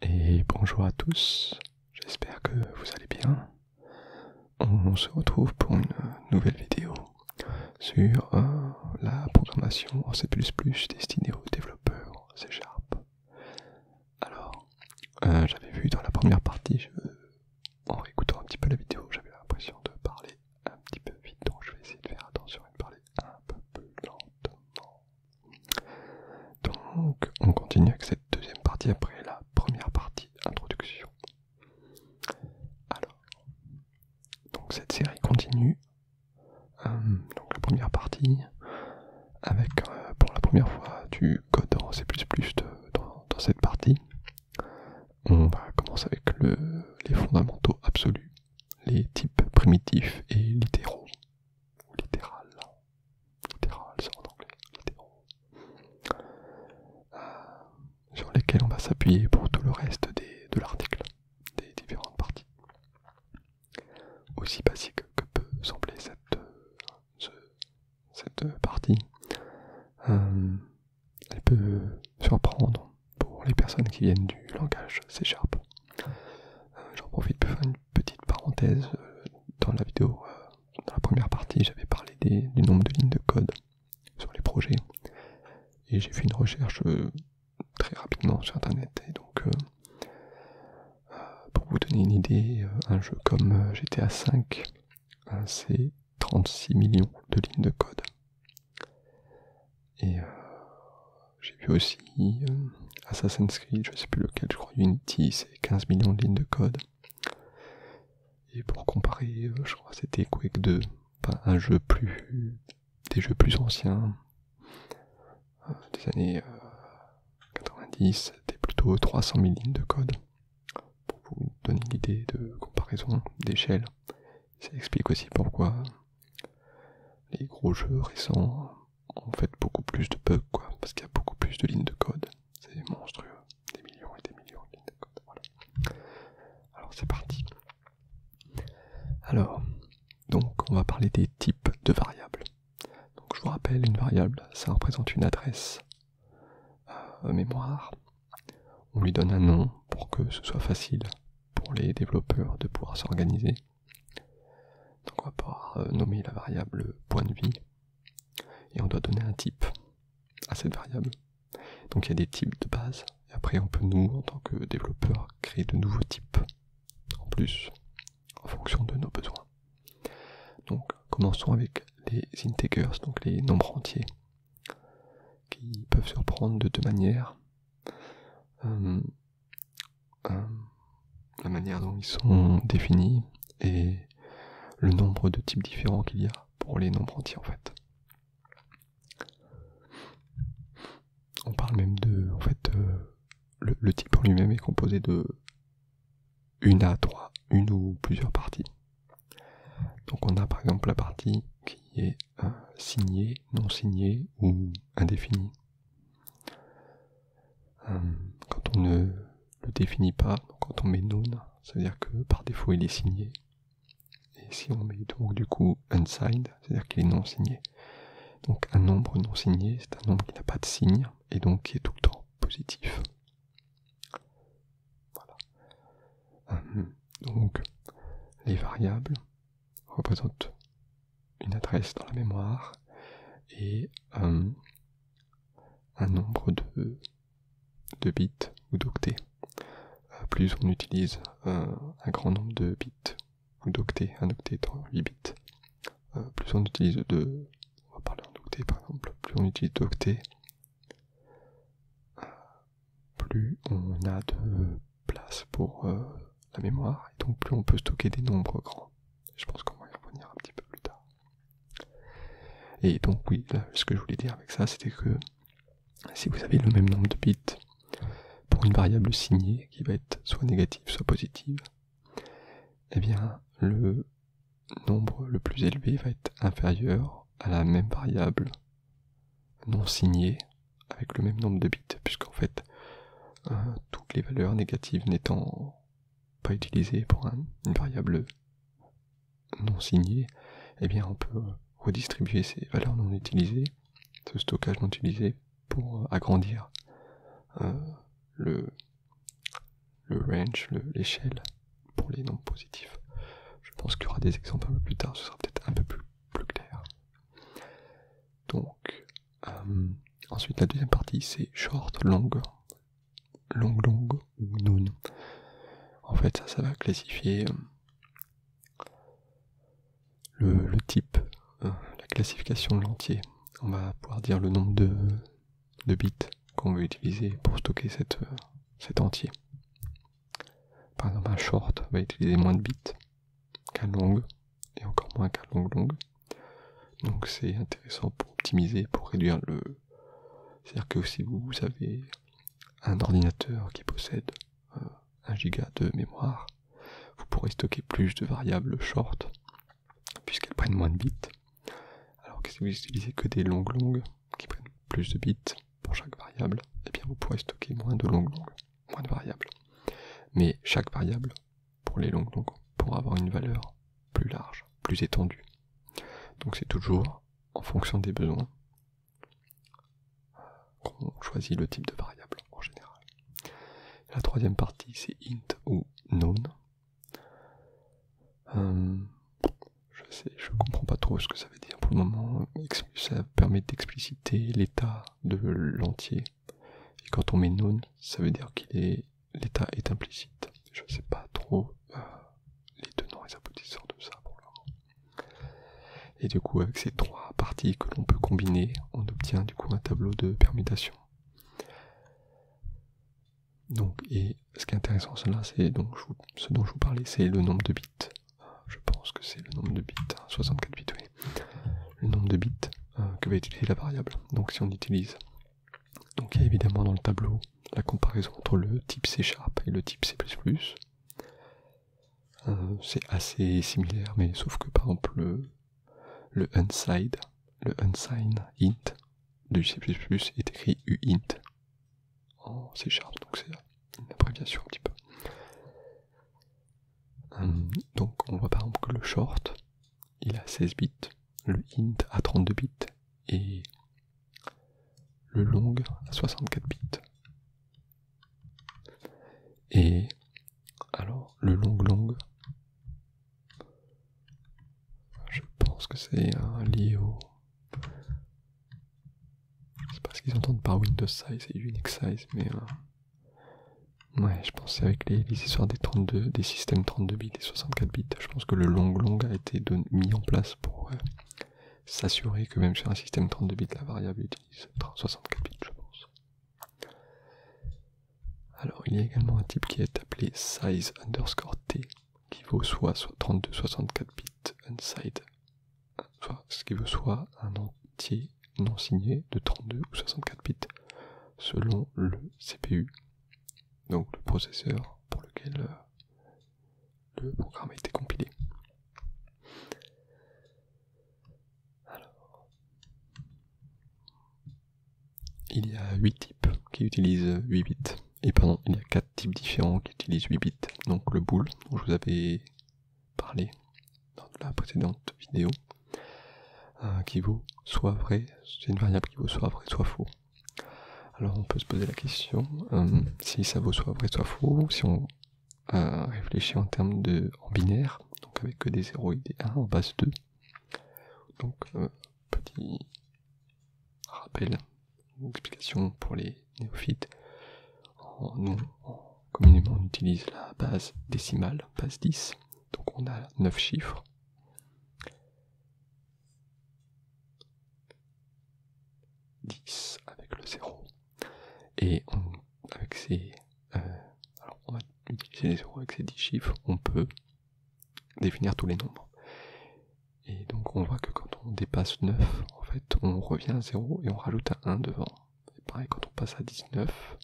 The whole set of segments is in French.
Et bonjour à tous, j'espère que vous allez bien. On se retrouve pour une nouvelle vidéo sur euh, la programmation en C++ destinée aux développeurs C Alors, euh, j'avais vu dans la première partie, en réécoutant un petit peu la vidéo, j'avais l'impression de parler un petit peu vite, donc je vais essayer de faire attention et une parler un peu plus lentement. Donc, on continue avec cette deuxième partie après la première partie introduction. Alors, donc cette série continue. Euh, donc la première partie avec euh, pour la première fois du code en C++ dans, cette partie. On va commencer avec les fondamentaux absolus les types primitifs et littéraux, littéral, hein. en anglais, littéraux, euh, sur lesquels on va s'appuyer pour tout le reste de l'article, des différentes parties. Aussi basique que peut sembler cette, euh, partie, euh, elle peut surprendre pour les personnes qui viennent du langage C Sharp. Euh, j'en profite pour faire une petite parenthèse. Euh, dans la vidéo, euh, dans la première partie, j'avais parlé du nombre de lignes de code sur les projets. Et j'ai fait une recherche très rapidement sur Internet. Et donc, pour vous donner une idée, un jeu comme GTA V, c'est 36 millions de lignes de code. Et euh, j'ai vu aussi euh, Assassin's Creed, je sais plus lequel, je crois Unity, c'est 15 millions de lignes de code. Et pour comparer, euh, je crois que c'était Quake 2, un jeu plus. des jeux plus anciens, des années 90, c'était plutôt 300 000 lignes de code, pour vous donner l'idée de comparaison d'échelle ça explique aussi pourquoi les gros jeux récents ont fait beaucoup plus de bugs, parce qu'il y a beaucoup plus de lignes de code. C'est monstrueux, des millions et des millions de lignes de code. Alors c'est parti. Alors, donc on va parler des types de variables. Donc je vous rappelle, une variable, ça représente une adresse euh, mémoire. On lui donne un nom pour que ce soit facile pour les développeurs de pouvoir s'organiser. Donc on va pouvoir euh, nommer la variable point de vie et on doit donner un type à cette variable. Donc il y a des types de base et après on peut nous en tant que développeurs créer de nouveaux types en plus en fonction de nos besoins. Donc commençons avec les integers, donc les nombres entiers qui peuvent se reprendre de deux manières. Euh, euh, la manière dont ils sont définis et le nombre de types différents qu'il y a pour les nombres entiers en fait. On parle même de, en fait, euh, le, le, type en lui-même est composé de une à trois, une ou plusieurs parties. Donc on a par exemple la partie qui est signé, non signé ou indéfini. Hum, quand on ne le définit pas, quand on met non, c'est à dire que par défaut il est signé. Et si on met donc du coup unsigned, c'est-à-dire qu'il est non signé. Donc un nombre non signé, c'est un nombre qui n'a pas de signe et donc qui est tout le temps positif. Voilà. Hum, donc les variables, représente une adresse dans la mémoire et un, nombre de, bits ou d'octets. Euh, plus on utilise euh, un grand nombre de bits ou d'octets, un octet étant 8 bits, euh, plus on utilise de. On va parler en octets par exemple, plus on utilise d'octets, plus on a de place pour euh, la mémoire, et donc plus on peut stocker des nombres grands. Je pense qu'on va y revenir un petit peu plus tard. Et donc oui, ce que je voulais dire avec ça, c'était que si vous avez le même nombre de bits pour une variable signée, qui va être soit négative, soit positive, eh bien le nombre le plus élevé va être inférieur à la même variable non signée avec le même nombre de bits, puisqu'en fait, euh, toutes les valeurs négatives n'étant pas utilisées pour une variable non signée, eh bien on peut redistribuer ces valeurs non utilisées, ce stockage non utilisé, pour euh, agrandir euh, le, range, l'échelle pour les nombres positifs. Je pense qu'il y aura des exemples un peu plus tard, ce sera peut-être un peu plus clair. Donc, euh, ensuite la deuxième partie c'est short, long, long, long ou non. En fait, ça, va classifier euh, le, type, euh, la classification de l'entier. On va pouvoir dire le nombre de, bits qu'on veut utiliser pour stocker cet entier. Par exemple, un short va utiliser moins de bits qu'un long et encore moins qu'un long long. Donc c'est intéressant pour optimiser, pour réduire le. C'est-à-dire que si vous avez un ordinateur qui possède 1 euh, giga de mémoire, vous pourrez stocker plus de variables short puisqu'elles prennent moins de bits. Alors que si vous utilisez que des longues longues qui prennent plus de bits, pour chaque variable, eh bien vous pourrez stocker moins de longues longues, moins de variables. Mais chaque variable, pour les longues longues, pourra avoir une valeur plus large, plus étendue. Donc c'est toujours en fonction des besoins qu'on choisit le type de variable en général. La troisième partie c'est int ou known. Euh, je sais, je comprends pas trop ce que ça ça veut dire pour le moment. Ça permet d'expliciter l'état de l'entier. Et quand on met non, ça veut dire que l'état est implicite. Je sais pas trop euh, les tenants et aboutissants de ça pour le moment. Et du coup, avec ces trois parties que l'on peut combiner, on obtient du coup un tableau de permutation. Donc, et ce qui est intéressant, cela, c'est donc ce dont je vous parlais, c'est le nombre de bits je pense que c'est le nombre de bits, 64 hein, bits, oui, le nombre de bits euh, que va utiliser la variable. Donc si on utilise, donc il y a évidemment dans le tableau la comparaison entre le type C et le type C++. Euh, c'est assez similaire, mais sauf que par exemple le, le unsigned, le unsigned int du C++ est écrit uint en C Sharp, donc c'est une abréviation un petit peu. Hum, donc on voit par exemple que le short, il a 16 bits, le int a 32 bits et le long a 64 bits. Et alors le long long, je pense que c'est un lié au, c'est sais pas ce qu'ils entendent par Windows size et Unix size, mais. Euh, ouais, je pensais avec les, histoires des des systèmes 32 bits et 64 bits, je pense que le long long a été mis en place pour euh, s'assurer que même sur un système 32 bits, la variable utilise 64 bits, je pense. Alors, il y a également un type qui est appelé size underscore t, qui vaut soit, soit 32, 64 bits unsigned soit, ce qui veut soit un entier non signé de 32 ou 64 bits selon le CPU, donc le processeur pour lequel euh, le programme a été compilé. il y a huit types qui utilisent 8 bits, et pardon, il y a 4 types différents qui utilisent 8 bits, donc le bool je vous avais parler dans la précédente vidéo, euh, qui vaut soit vrai, c'est une variable qui vaut soit vrai, soit faux. Alors on peut se poser la question euh, si ça vaut soit vrai, soit faux, si on euh, réfléchit en termes de en binaire, donc avec que des 0 et des 1 en base 2. Donc petit rappel explication pour les néophytes. on, communément, utilise la base décimale, base 10. Donc on a 9 chiffres. 10 avec le 0. Et avec ces. Euh, va utiliser les 0 avec ces 10 chiffres, on peut définir tous les nombres. Et donc on voit que quand dépasse 9, en fait, on revient à 0 et on rajoute un 1 devant. C'est pareil, quand on passe à 19,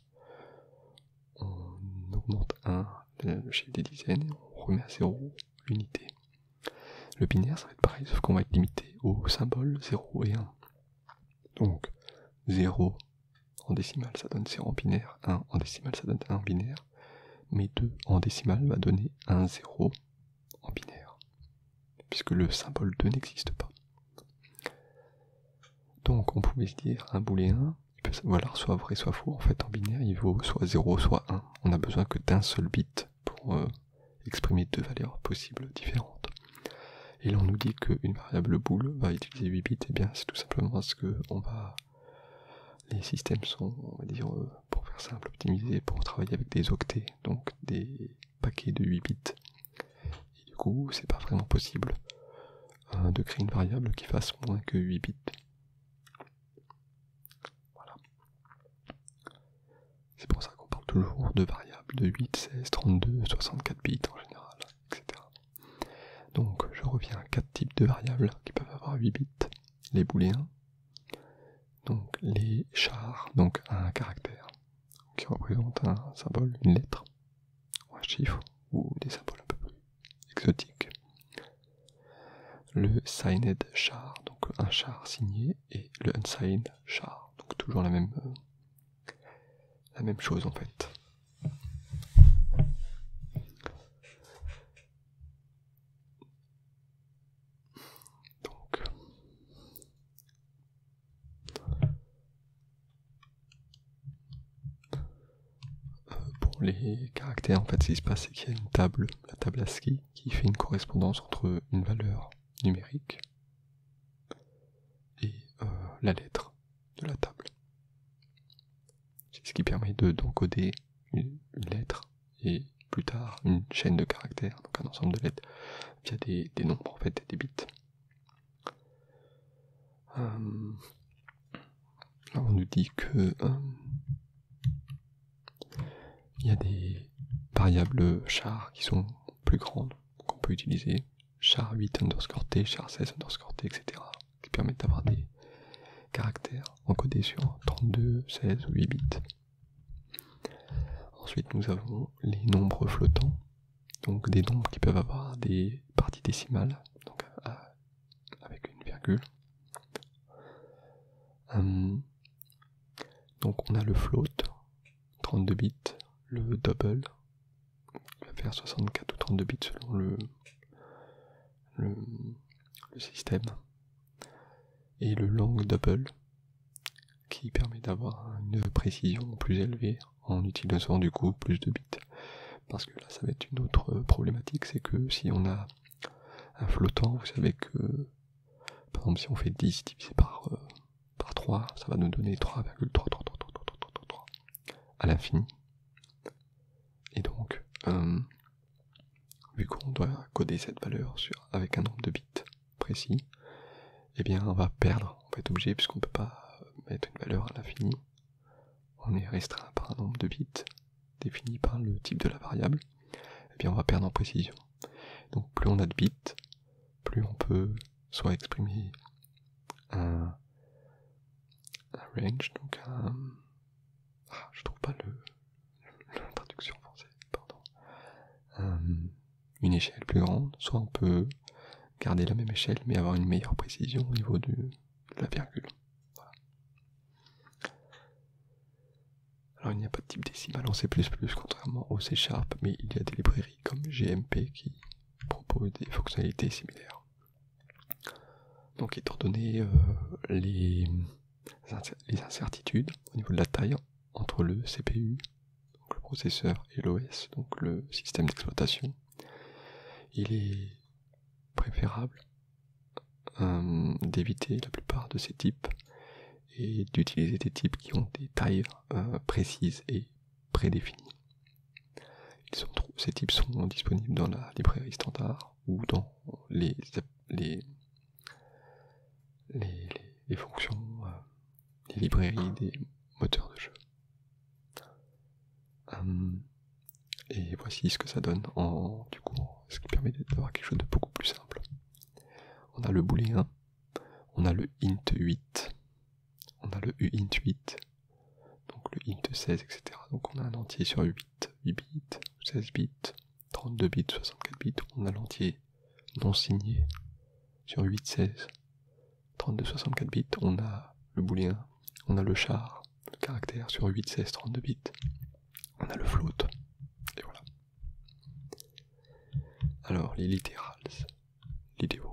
on augmente 1 le chiffre des dizaines et on remet à 0 l'unité. Le binaire, ça va être pareil, sauf qu'on va être limité au symbole 0 et 1. Donc, 0 en décimale, ça donne 0 en binaire, 1 en décimale, ça donne 1 en binaire, mais 2 en décimale va donner un 0 en binaire puisque le symbole 2 n'existe pas. Donc on pouvait se dire un booléen, voilà, soit vrai soit faux, en fait en binaire il vaut soit 0 soit 1. On a besoin que d'un seul bit pour euh, exprimer deux valeurs possibles différentes. Et là on nous dit qu'une variable bool va utiliser 8 bits, et eh bien c'est tout simplement parce que on va... les systèmes sont, on va dire, euh, pour faire simple, optimisés pour travailler avec des octets, donc des paquet de 8 bits. Et du coup, c'est pas vraiment possible hein, de créer une variable qui fasse moins que 8 bits. Voilà. C'est pour ça qu'on parle toujours de variables de 8, 16, 32, 64 bits en général, etc. Donc, je reviens à quatre types de variables qui peuvent avoir 8 bits les booléens, donc les chars, donc un caractère qui représente un symbole, une lettre, un chiffre, ou des symboles un peu exotiques. Le signed char, donc un char signé, et le unsigned char, donc toujours la même, euh, la même chose en fait. Donc, euh, pour les caractères, en fait, ce qui se passe, c'est qu'il y a une table, la table ASCII, qui fait une correspondance entre une valeur numérique et euh, la lettre de la table. C'est ce qui permet d'encoder une lettre et plus tard une chaîne de caractères, donc un ensemble de lettres via des, nombres fait et des bits. Euh, là on nous dit que euh, il y a des variables char qui sont plus grandes qu'on peut utiliser, char 8 underscore t, char 16 underscore t, etc. qui permettent d'avoir des caractères encodés sur 32, 16 ou 8 bits. Ensuite, nous avons les nombres flottants, donc des nombres qui peuvent avoir des parties décimales, avec une virgule. Hum. donc on a le float, 32 bits, le double, qui va faire 64 ou 32 bits selon le système, et le long double qui permet d'avoir une précision plus élevée en utilisant du coup plus de bits. Parce que là ça va être une autre problématique, c'est que si on a un flottant, vous savez que par exemple si on fait 10 divisé par, 3, euh, ça va nous donner 3,333333 à l'infini. Et donc, euh, vu qu'on doit coder cette valeur avec un nombre de bits, précis, eh bien on va perdre, on va être obligé puisqu'on ne peut pas mettre une valeur à l'infini. On est restreint par un nombre de bits défini par le type de la variable, et eh bien on va perdre en précision. Donc plus on a de bits, plus on peut soit exprimer un, range, donc un... Ah, je trouve pas le, traduction française, pardon, euh, une échelle plus grande, soit on peut garder la même échelle mais avoir une meilleure précision au niveau de la virgule. Alors il n'y a pas de type décimal en C++, contrairement au C Sharp, mais il y a des librairies comme GMP qui proposent des fonctionnalités similaires. Donc étant donné euh, les les incertitudes au niveau de la taille entre le CPU, le processeur, et l'OS, donc le système d'exploitation. Il est préférable euh, d'éviter la plupart de ces types et d'utiliser des types qui ont des tailles euh, précises et prédéfinies. ces types sont disponibles dans la librairie standard ou dans les les, fonctions, euh, les librairies ah. des moteurs de jeu. Euh, et voici ce que ça donne en du coup, ce qui permet d'avoir quelque chose de beaucoup plus simple. On a le booléen, on a le int 8, on a le uint 8, donc le int 16, etc. Donc on a un entier sur 8, 8 bits, 16 bits, 32 bits, 64 bits, on a l'entier non signé sur 8, 16, 32, 64 bits, on a le booléen, on a le char, le caractère sur 8, 16, 32 bits, on a le float, et voilà. Alors, les littérales, littérals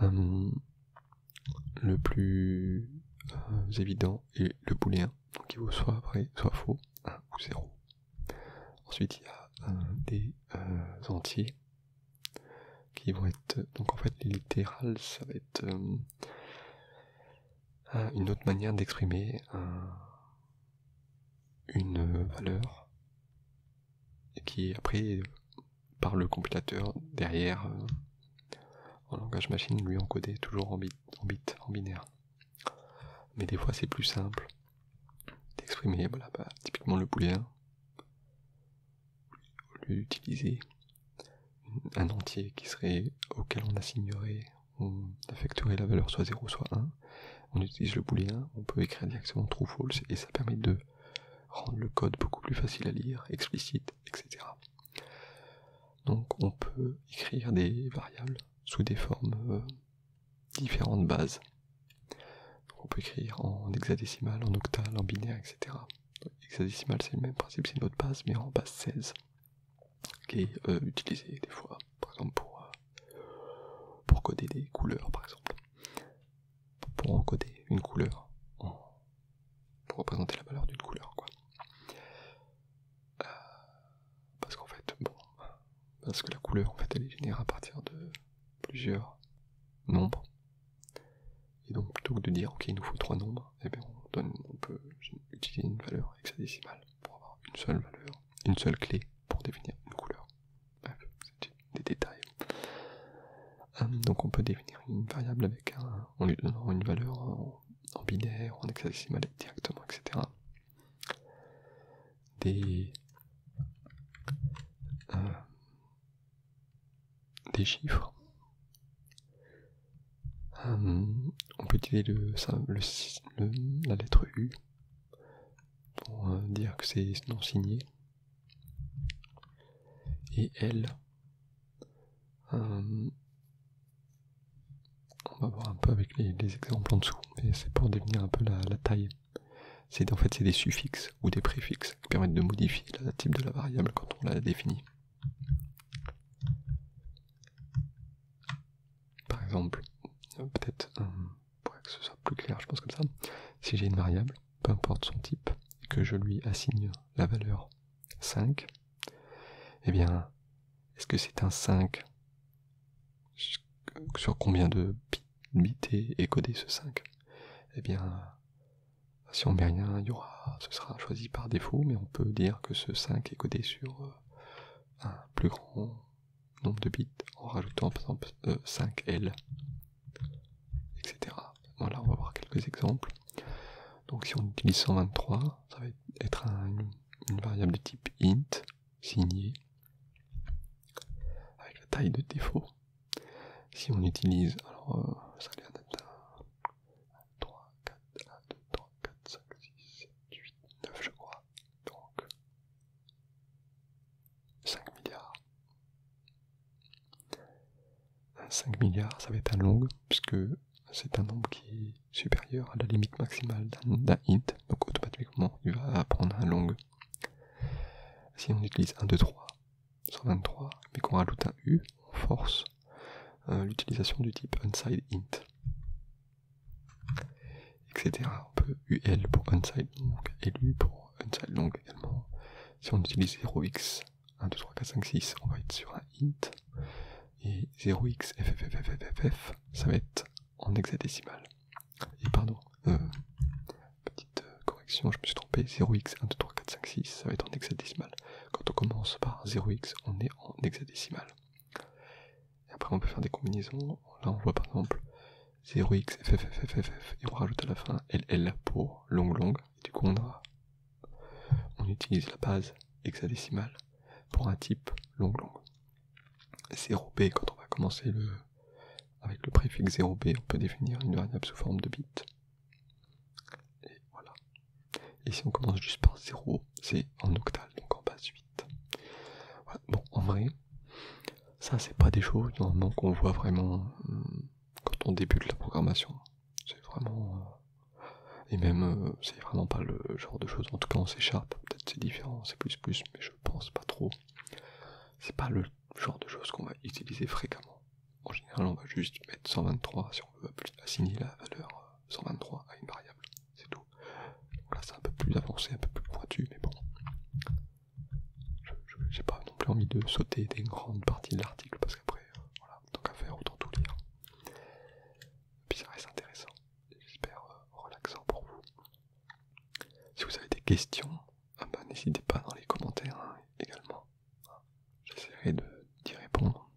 hum, le plus euh, évident est le booléen, qui vaut soit vrai, soit faux, 1 ou 0. Ensuite, il y a euh, des euh, entiers qui vont être. Donc en fait, les littérales, ça va être euh, une autre manière d'exprimer une valeur qui est après par le compilateur derrière en langage machine lui encodé toujours en bits, en, bit, en binaire. Mais des fois, c'est plus simple d'exprimer, voilà, bah, typiquement le booléen, hein. au lieu d'utiliser un entier qui serait auquel on assignerait, ou affecterait la valeur soit 0 soit 1, on utilise le booléen, on peut écrire directement true false et ça permet de rendre le code beaucoup plus facile à lire, explicite, etc. Donc on peut écrire des variables sous des formes euh, différentes bases. on peut écrire en hexadécimal, en octal, en binaire, etc. Hexadécimal c'est le même principe, c'est notre base, mais en base 16, qui est euh, utilisée des fois, par exemple pour, euh, pour coder des couleurs, par exemple. Pour encoder une couleur, pour représenter la valeur d'une couleur, quoi. Euh, parce qu'en fait, bon, parce que la couleur en fait elle est générée à partir de plusieurs nombres. Et donc plutôt que de dire ok il nous faut trois nombres, eh ben, on, donne, on peut utiliser une valeur hexadécimale pour avoir une seule valeur, une seule clé pour définir une couleur. Bref, c'est des détails. Hum, donc on peut définir une variable avec un, en lui donnant une valeur euh, en binaire, en hexadécimal directement, etc. Des, euh, des chiffres. Euh, on peut utiliser le, la lettre U pour euh, dire que c'est non signé. Et L euh, on va voir un peu avec les, exemples en dessous, mais c'est pour définir un peu la, taille. C'est en fait c'est des suffixes ou des préfixes qui permettent de modifier le type de la variable quand on la définit. Par exemple, euh, peut-être euh, pour que ce soit plus clair, je pense comme ça. Si j'ai une variable, peu importe son type, et que je lui assigne la valeur 5, et eh bien, est-ce que c'est un 5 Sur combien de bits est codé ce 5 Et eh bien, si on met rien, il y aura, ce sera choisi par défaut, mais on peut dire que ce 5 est codé sur euh, un plus grand nombre de bits en rajoutant par exemple 5L, euh, etc. Voilà, on va voir quelques exemples. Donc si on utilise 123, ça va être un, une variable de type int signée avec la taille de défaut. Si on utilise, alors euh, ça a 3, 4, 1, 2, 3, 4, 5, 6, 7, 8, 9 je crois. Donc 5 milliards. 5 milliards, ça va être un long, puisque c'est un nombre qui supérieur à la limite maximale d'un int, donc automatiquement il va prendre un long. Si on utilise 1, 2, 3, 123, mais qu'on rajoute un U, on force euh, l'utilisation du type unside int. Etc. On peut UL pour unside long, LU pour unside long également. Si on utilise 0x, 1, 2, 3, 4, 5, 6, on va être sur un int et 0xFFFFFF, ça va être en hexadécimal. Et pardon, petite correction, je me suis trompé, 0x, 1, 3, 4, 5, 6, ça va être en hexadécimal. Quand on commence par 0x, on est en hexadécimal. Et après, on peut faire des combinaisons. Là, on voit par exemple 0x, FFFFFF, et on rajoute à la fin LL pour long, long, et du coup, on aura on utilise la base hexadécimale pour un type long long. 0b, quand on va commencer avec le préfixe 0b, on peut définir une variable sous forme de bit. Et voilà. Et si on commence juste par 0, c'est en octal, donc en base 8. Bon, en vrai, ça c'est pas des choses normalement qu'on voit vraiment euh, quand on débute la programmation. C'est vraiment. Euh, et même, euh, c'est vraiment pas le genre de choses. En tout cas, on s'échappe, Peut-être c'est différent, c'est plus plus, mais je pense pas trop. C'est pas le genre de choses qu'on va utiliser fréquemment. En général, on va juste mettre 123 si on veut assigner la valeur 123 euh, à une variable. C'est tout. Donc là, c'est un peu plus avancé, un peu plus pointu, mais bon. J'ai pas non plus envie de sauter des grandes parties de l'article parce qu'après, voilà, tant qu'à faire, autant tout lire puis ça reste intéressant, j'espère euh, relaxant pour vous. Si vous avez des questions, ah ben, n'hésitez pas dans les commentaires hein, également. J'essaierai d'y répondre.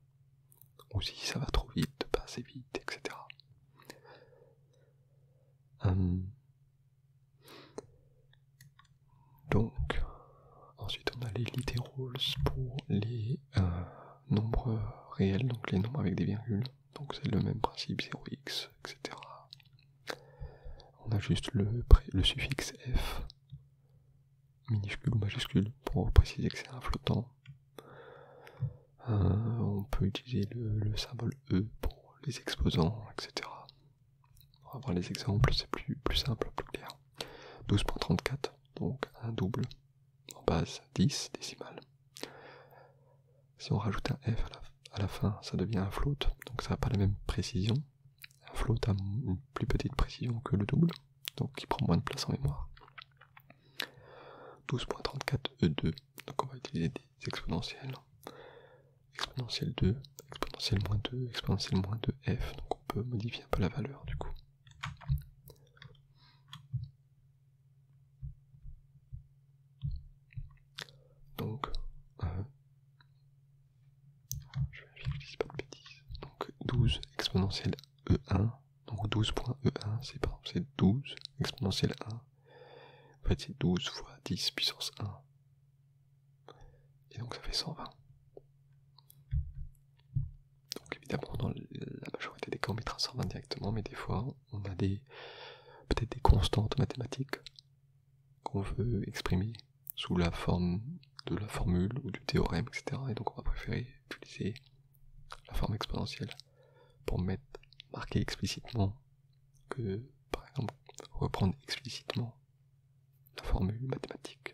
Ou si ça va trop vite, pas assez vite, etc. Hum. Donc, ensuite on a les rôles pour les un nombre réel, donc les nombres avec des virgules. Donc c'est le même principe, 0x, etc. On a juste le, le suffixe f, minuscule ou majuscule, pour préciser que c'est un flottant. Euh, on peut utiliser le, symbole E pour les exposants, etc. On va voir les exemples, c'est plus, plus simple, plus clair. 12.34, donc un double en base 10 décimale. Si on rajoute un F à la, fin, ça devient un float, donc ça n'a pas la même précision. Un float a une plus petite précision que le double, donc il prend moins de place en mémoire. 12.34 E2, euh, donc on va utiliser des exponentielles. Exponentielle 2, exponentielle moins 2, exponentielle moins 2 F, donc on peut modifier un peu la valeur du coup. Donc, je vais pas de bêtises. Donc 12 exponentielle E1, donc 12.E1, e c'est par c'est 12 exponentielle 1. En fait c'est 12 fois 10 puissance 1. Et donc ça fait 120. Donc évidemment, dans la majorité des cas, on mettra 120 directement, mais des fois, on a des peut-être des constantes mathématiques qu'on veut exprimer sous la forme de la formule ou du théorème, etc. Et donc on va préférer utiliser la forme exponentielle pour marquer explicitement que, par exemple, reprendre explicitement la formule mathématique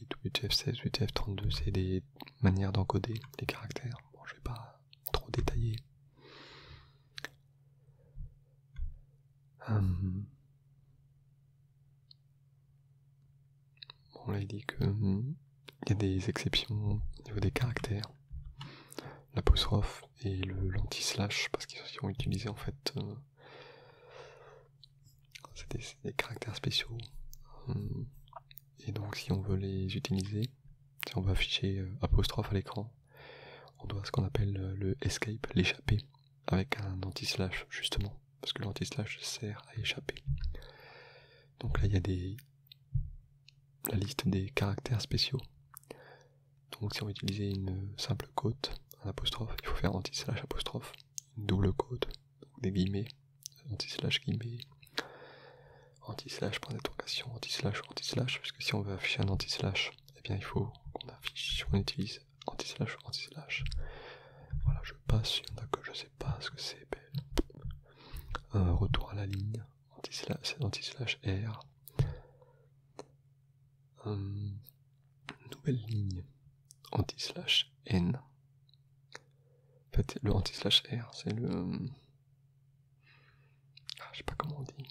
8, f 16 8F32, c'est des manières d'encoder les caractères. Bon, je vais pas trop détailler. Hum. Bon, là il dit que hum, il y a des exceptions au niveau des caractères, l'apostrophe et le l'anti-slash parce qu'ils sont utilisés en fait euh, c'est des, caractères spéciaux. Hum. Et donc si on veut les utiliser, si on veut afficher euh, apostrophe à l'écran, on doit ce qu'on appelle euh, le escape, l'échapper, avec un anti-slash justement, parce que l'anti-slash sert à échapper. Donc là il y a des la liste des caractères spéciaux. Donc si on veut utiliser une euh, simple cote, un apostrophe, il faut faire anti-slash apostrophe, double cote, donc des guillemets, anti-slash guillemets, anti-slash point anti-slash, anti-slash, parce que si on veut afficher un anti-slash, eh bien il faut qu'on affiche, si on utilise anti-slash, anti-slash. Voilà, je passe, il y a que je sais pas ce que c'est, un euh, retour à la ligne, anti-slash, anti-slash R. Hum. Nouvelle ligne anti-slash N. En fait, le anti-slash R, c'est le. Ah, je sais pas comment on dit.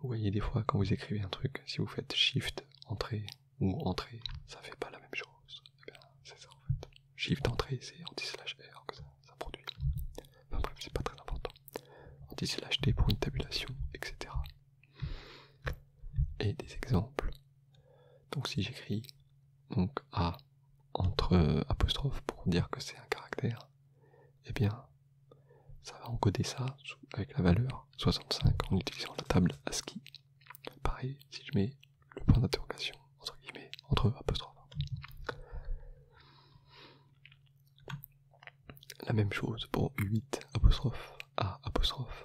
Vous voyez, des fois, quand vous écrivez un truc, si vous faites Shift, entrée ou entrée, ça fait pas la même chose. Eh ben, c'est ça en fait. Shift, entrée, c'est anti-slash R que ça, produit. Enfin bref, c'est pas très important. Anti-slash T pour une tabulation, etc et des exemples. Donc si j'écris donc A entre apostrophes pour dire que c'est un caractère, et eh bien ça va encoder ça avec la valeur 65 en utilisant la table ASCII. Pareil si je mets le point d'interrogation entre guillemets entre apostrophes. La même chose pour 8 apostrophe A apostrophe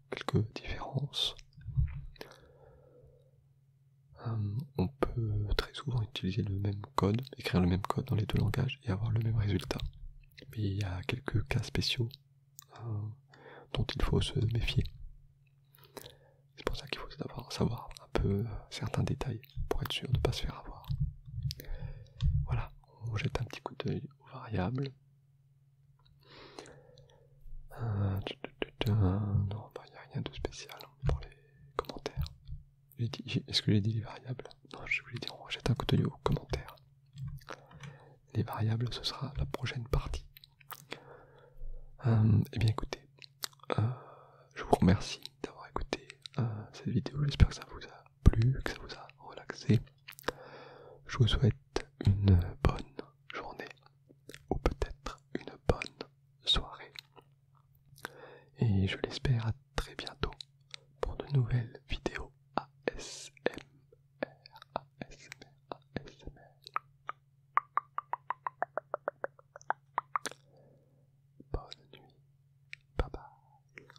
quelques différences. Euh, on peut très souvent utiliser le même code, écrire le même code dans les deux langages et avoir le même résultat. Mais il y a quelques cas spéciaux euh, dont il faut se méfier. C'est pour ça qu'il faut savoir un peu certains détails pour être sûr de ne pas se faire avoir. Voilà, on jette un petit coup d'œil aux variables. Euh, non, il bah, n'y a rien de spécial pour les commentaires. Est-ce que j'ai dit les variables Non, je l'ai dit, on jette un coup aux commentaires. Les variables, ce sera la prochaine partie. Euh, eh bien écoutez, euh, je vous remercie d'avoir écouté cette vidéo. J'espère que ça vous a plu, que ça vous a relaxé. Je vous souhaite une bonne journée ou peut-être une bonne soirée. Et je l'espère à très bientôt pour de nouvelles vidéos ASMR. ASMR, ASMR. Bonne nuit. Bye bye.